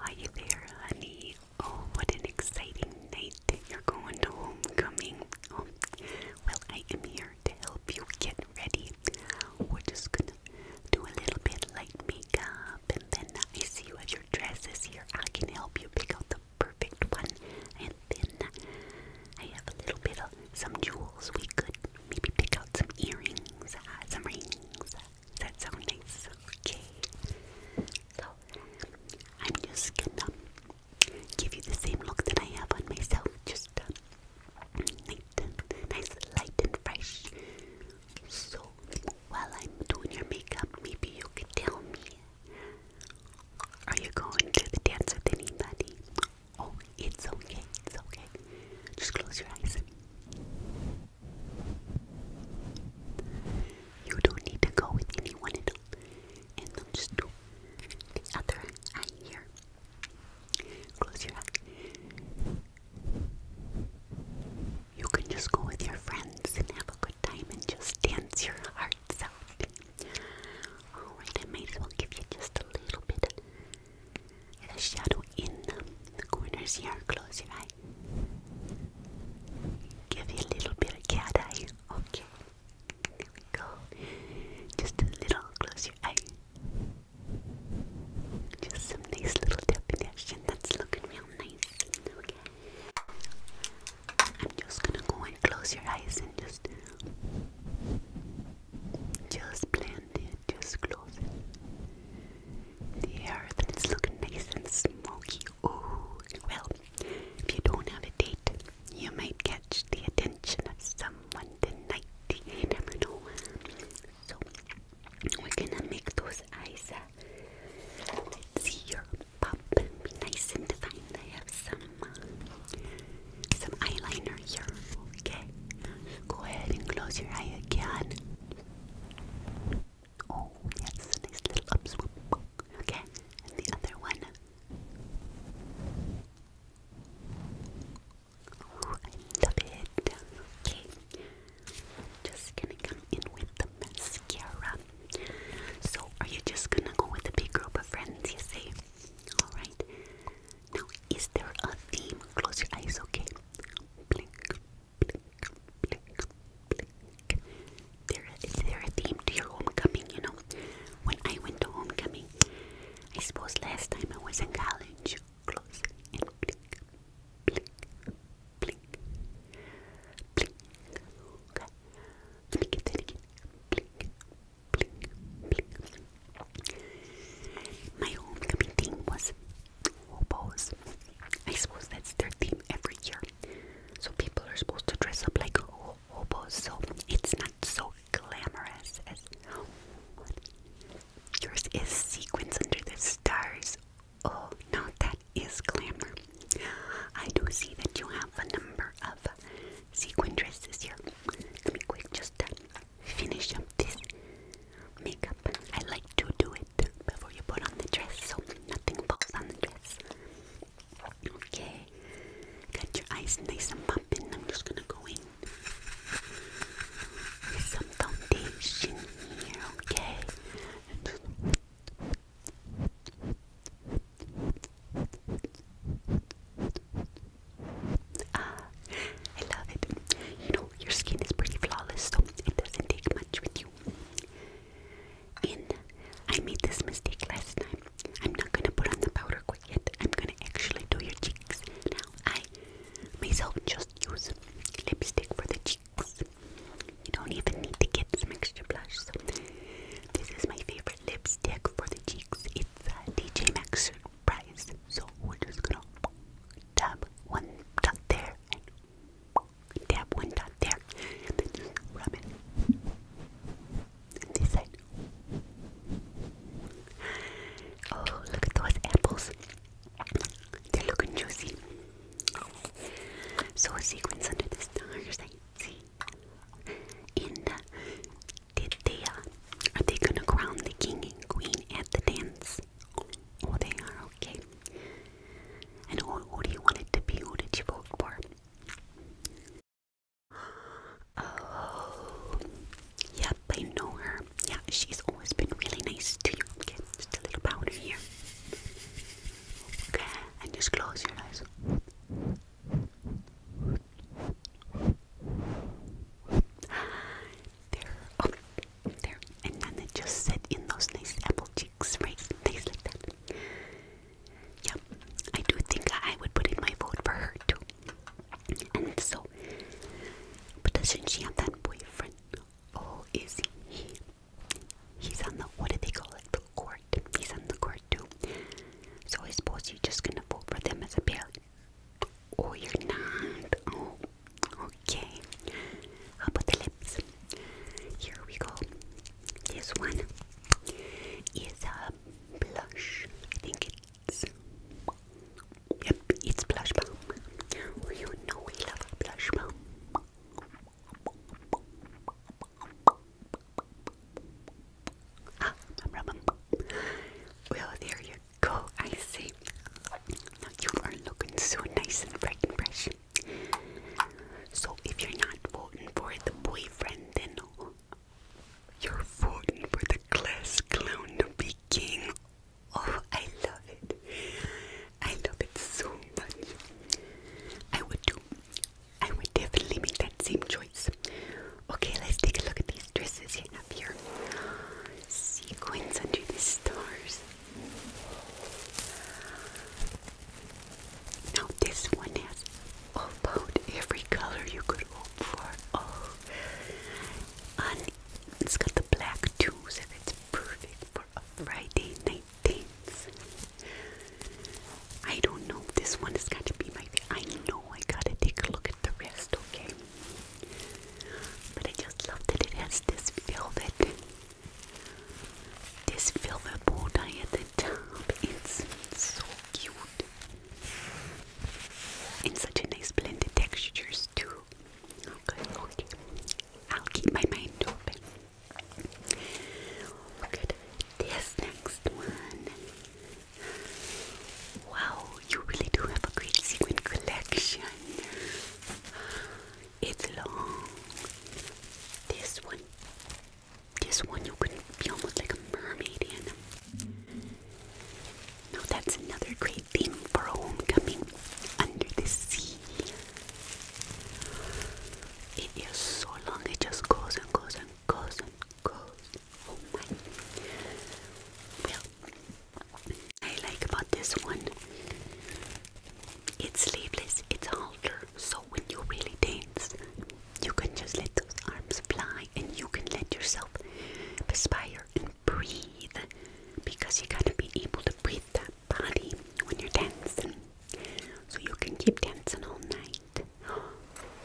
Are you there, honey? Oh, what an exciting night! You're going to homecoming. Oh, well, I am here to help you get ready. We're just gonna do a little bit light makeup, and then I see what have your dresses here. I can help you pick out the perfect one, and then I have a little bit of some jewels. We could maybe pick out some earrings, uh, some rings, uh, that sound nice? Okay. So, I'm just gonna give you the same look that I have on myself, just uh, nice, and, light, and fresh. So, while I'm doing your makeup, maybe you can tell me Are you going to the dance with anybody? Oh, it's okay, it's okay. Just close your eyes. You don't need to go with anyone at all. And then just do the other eye here. Close your eye. You can just go with your friends and have a good time and just dance your hearts out. Alright, I might as well give you just a little bit and a shadow in The corners here. Close your eye. Give you a little bit of cat Okay. There we go. Just a little. Close your eye. Just some nice little definition. That's looking real nice. Okay. I'm just gonna go and close your eyes and just just blend in just close it. There, then looking nice and smoky. Ooh, well, if you don't have a date, you might catch the attention of someone tonight. never know. So, we're gonna make those eyes. Uh, let's see your pop. nice and fine. I have some uh, some eyeliner here. Okay, go ahead and close your eye again. Oh, yes, nice little up Okay, and the other one. Oh, I love it. Okay, just gonna come in with the mascara. So, are you just gonna go with a big group of friends, you say? Alright, now, is there a theme? Close your eyes, okay? Blink, blink, blink, blink. There, is there a theme to your homecoming? You know, when I went to homecoming, I suppose last time I was in college. Close blink, blink, blink, blink. Okay. Let me get that Blink, blink, blink. My homecoming theme was hobos. I suppose that's their theme every year. So people are supposed to dress up like hobos, so it's not so glamorous as yours is sequins under the stars. Oh no, that is glamour. I do see that you have a number of sequin dresses here. Let me quick just uh, finish up this makeup. I like to do it before you put on the dress so nothing falls on the dress. Okay, got your eyes nice and popping. I'm just gonna go in some foundation here, okay? Ah, I love it. You know, your skin is pretty flawless, so it doesn't take much with you. And I made this mistake last time. I'm not gonna put on the powder quite yet. I'm gonna actually do your cheeks. Now, I myself just use lipstick for the cheeks. You don't even need to get some extra blush. So, this is my favorite lipstick for the cheeks. It's uh, DJ Maxx price. So we're just gonna dab one dot there and dab one dot there and then just rub it. And this side. Oh, look at those apples. They're looking juicy. So a sequence under the stars, I see. In the did they, uh, are they gonna crown the king and queen at the dance? Oh, they are, okay. And who do you want it to be? Who did you vote for? Oh, yep, I know her. Yeah, she's always been really nice to you. Okay, just a little powder here. Okay, and just close your eyes. There, oh, there, and then just sit in those nice apple cheeks, right? Nice like that. Yep, I do think I would put in my vote for her too. And so, but doesn't she have that boyfriend? Oh, is he? He's on the what do they call it? The court. He's on the court too. So I suppose you're just gonna vote for them as a pair. Oh, you're not. Oh, okay. about the lips? Here we go. This one is a blush. I think it's. Yep, it's blush balm. Oh, you know we love blush balm. Ah, well, there you go. I see. Now you are looking so nice and bright and fresh. So if you're not voting for the boyfriend, then you're voting for the class clown to be king. Oh, I love it. I love it so much. I would do. I would definitely make that same choice. Okay, let's take a look at these dresses here up here. Sequins under the stars. Now this one has about every color you could hope for. Oh, it's got the black too, so it's perfect for a Friday night dance. I don't know. This one is going to be my baby. I know I gotta take a look at the rest, okay? But I just love that it has this velvet, this velvet bow tie at the top. It's so cute. And such a nice blend of textures too. Okay, okay. I'll keep my mind open. Look at this next one. Wow, you really do have a great sequin collection. It's long. This one, this one, you could be almost like a mermaid in. them. Now that's another great theme for a homecoming under the sea. It is so long, it just goes and goes and goes and well, I like about this one. It's sleeveless, it's a halter, so when you really dance, you can just let those arms fly and you can let yourself perspire and breathe because you gotta be able to breathe that body when you're dancing. So you can keep dancing all night.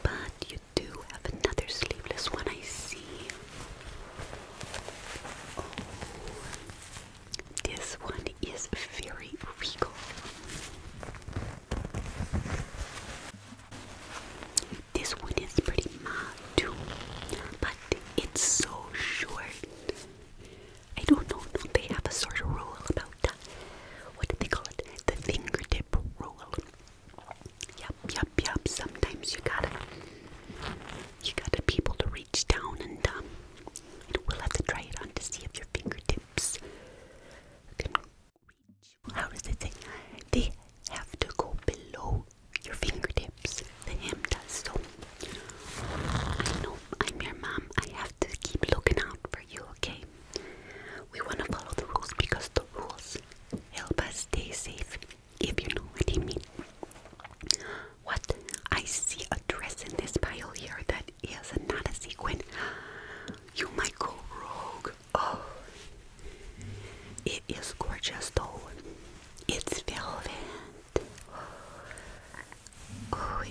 But you do have another sleeveless one, I see. Oh, this one is very regal. This one is pretty mild too, but it's so short. I don't know if they have a sort of rule about what do they call it? The fingertip rule. Yep, yep, yep. Sometimes you gotta, you gotta be able to reach down and um, we'll have to try it on to see if your fingertips can reach. How does it say? They have to go below your fingertips. The hem does so. I know I'm your mom. I have to keep looking out for you, okay? We want to follow the rules because the rules help us stay safe, if you know what I mean. What? I see a dress in this pile here that is not a sequin. You might go rogue. Oh, it is gorgeous though. It's velvet. Oh,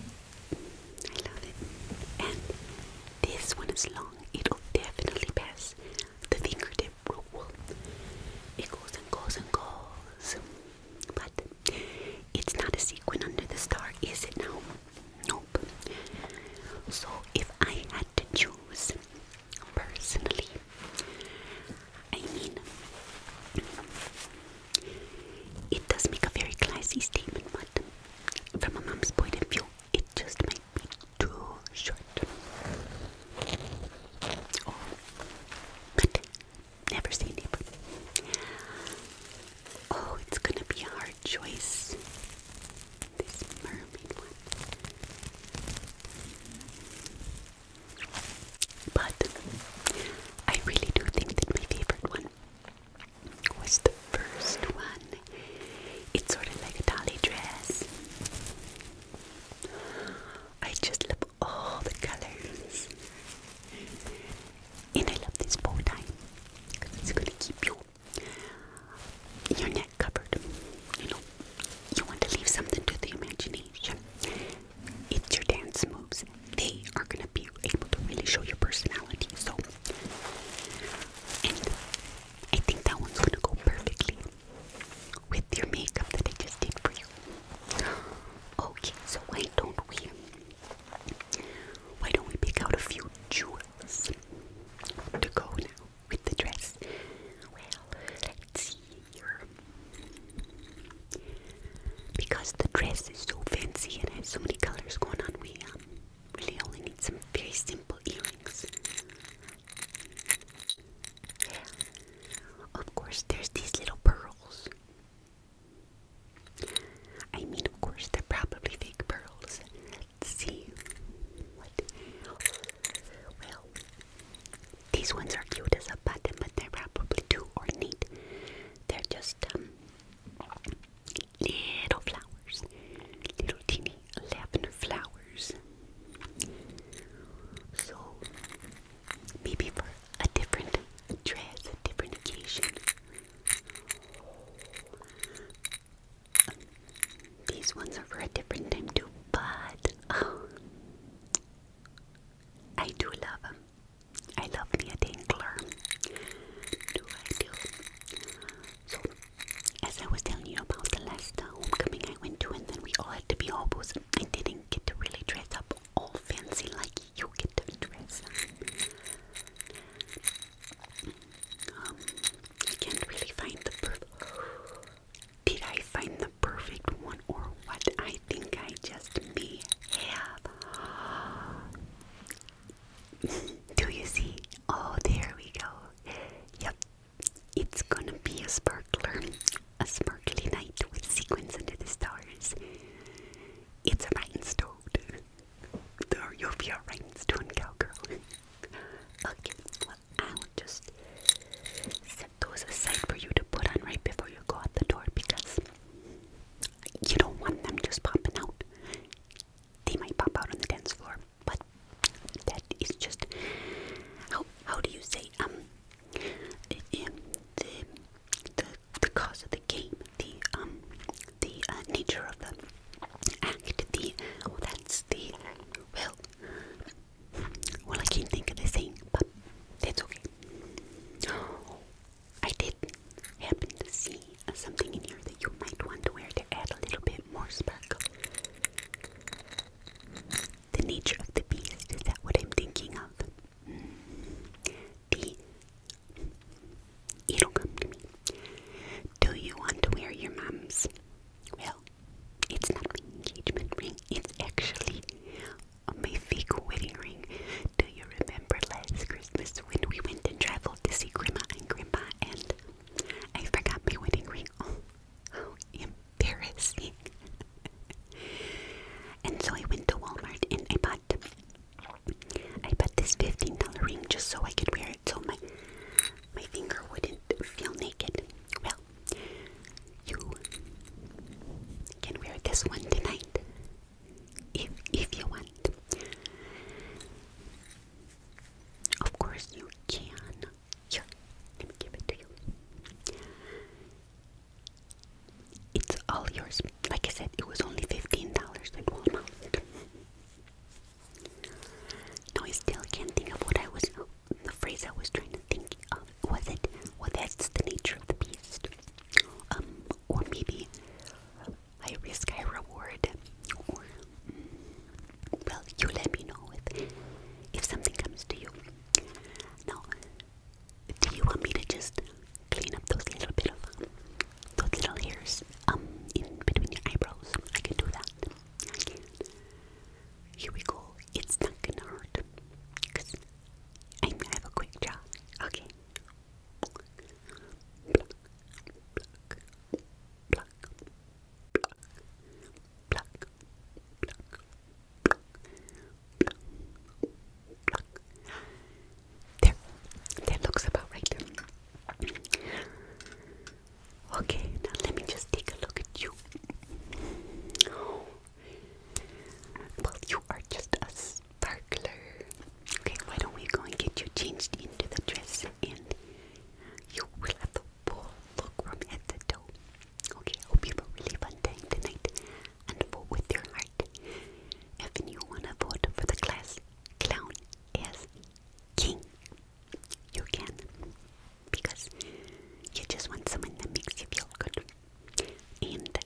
I love it. And this one is long. It'll definitely pass the fingertip rule. It goes and goes and goes. But it's not a sequin under the star, is it now? Nope. So if I had to choose personally, I mean, it does make a very classy statement, but from a mom's point of view, it just might be too short. Oh, but never say never. Oh, it's gonna be a hard choice. This mermaid one. But I really do think that my favorite one was the first one. It's sort of like a dolly dress. I just love all the colors. And I love this bow because it's going to keep you your neck covered. You know, you want to leave something to the imagination. It's your dance moves. They are going to be able to really show your personality. So, I think that one's gonna go perfectly with your makeup that I just did for you. Okay, so why don't we? Why don't we pick out a few jewels to go now with the dress? Well, let's see Because the dress is so fancy and has so many colors going on, we um, really only need some very simple earrings. Of course, there's these little pearls. I mean, of course, they're probably fake pearls. Let's see. What? Well, these ones are cute as a button, but they're probably too ornate. They're just, um, little flowers, little teeny lavender flowers. So maybe for a different dress, a different occasion. these ones are for a different time too, but um, I do love them. I love me a tingler. Do I do? So, as I was telling you about the last uh, homecoming I went to, and then we all had to be hobos, I didn't get to really dress up all fancy like you get to dress up. Um, I can't really find the Did I find the perfect one or what? I think I just may have. Do you see? Oh, there we go. Yep, it's gonna be a sparkler, a sparkly night with sequins under the stars. It's a rhinestone. There, you'll be a rhinestone cowgirl. okay, I'll just set those aside for you to put on right before you go out the door because you don't want them just popping out. They might pop out on the dance floor, but that is just how how do you say um the the the cause of the game, the um the uh, nature of the act, the oh, that's the well well I can't think of the thing, but that's okay. I did happen to see something in here that you might want to wear to add a little bit more sparkle. The nature of the beast, is that what I'm thinking of? It'll come to me. Do you want to wear your mom's? Well, it's not my engagement ring, it's actually my fake wedding ring. Do you remember last Christmas when we went and traveled to see Grandma and Grandpa and I forgot my wedding ring? Oh, how embarrassing. and so I went to Walmart and I bought I bought this $15 ring just so I could wear it so my my finger wouldn't feel naked. Well, you can wear this one tonight if if you want. Of course you can. Here, give it to you. It's all yours. Like I said, it was only $15 at Walmart. No, I still can't think of what I was, the phrase I was trying to think of was it? Well, that's the nature of the beast. Um, or maybe I risk, I reward. Or, mm, well, you let me know if if something comes to you. No, do you want me to just clean up those little bit of those little hairs um in between your eyebrows? I can do that. I can. Here we go. It's not gonna hurt. I'm gonna have a quick job. Okay. There, that looks about right. Okay, now let me just take a look at you. Well, you are just a sparkler. Okay, why don't we go and get you changed into the dress and you will have the full look from head to toe. Okay, I hope you have a really fun time tonight and vote with your heart. If you want to vote for the class, clown is king. You can. Because you just want someone that makes you feel good. And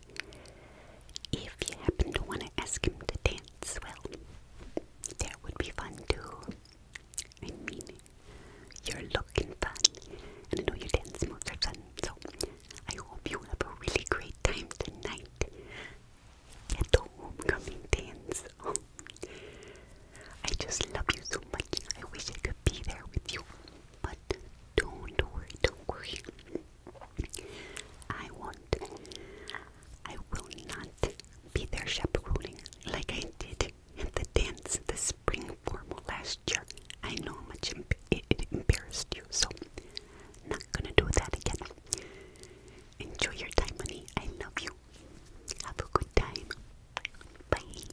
if you happen to want to ask him to dance, well, that would be fun too. I mean, you're looking fun, and I know you dance moves are fun, so I hope you have a really great time tonight at the homecoming dance. I just love you so much. I wish I could be there with you. But don't worry, I won't. I will not be there chaperoning like I did at the dance, the spring formal last year. I know how much it, it embarrassed you, so not gonna do that again. Enjoy your time, honey. I love you. Have a good time. Bye.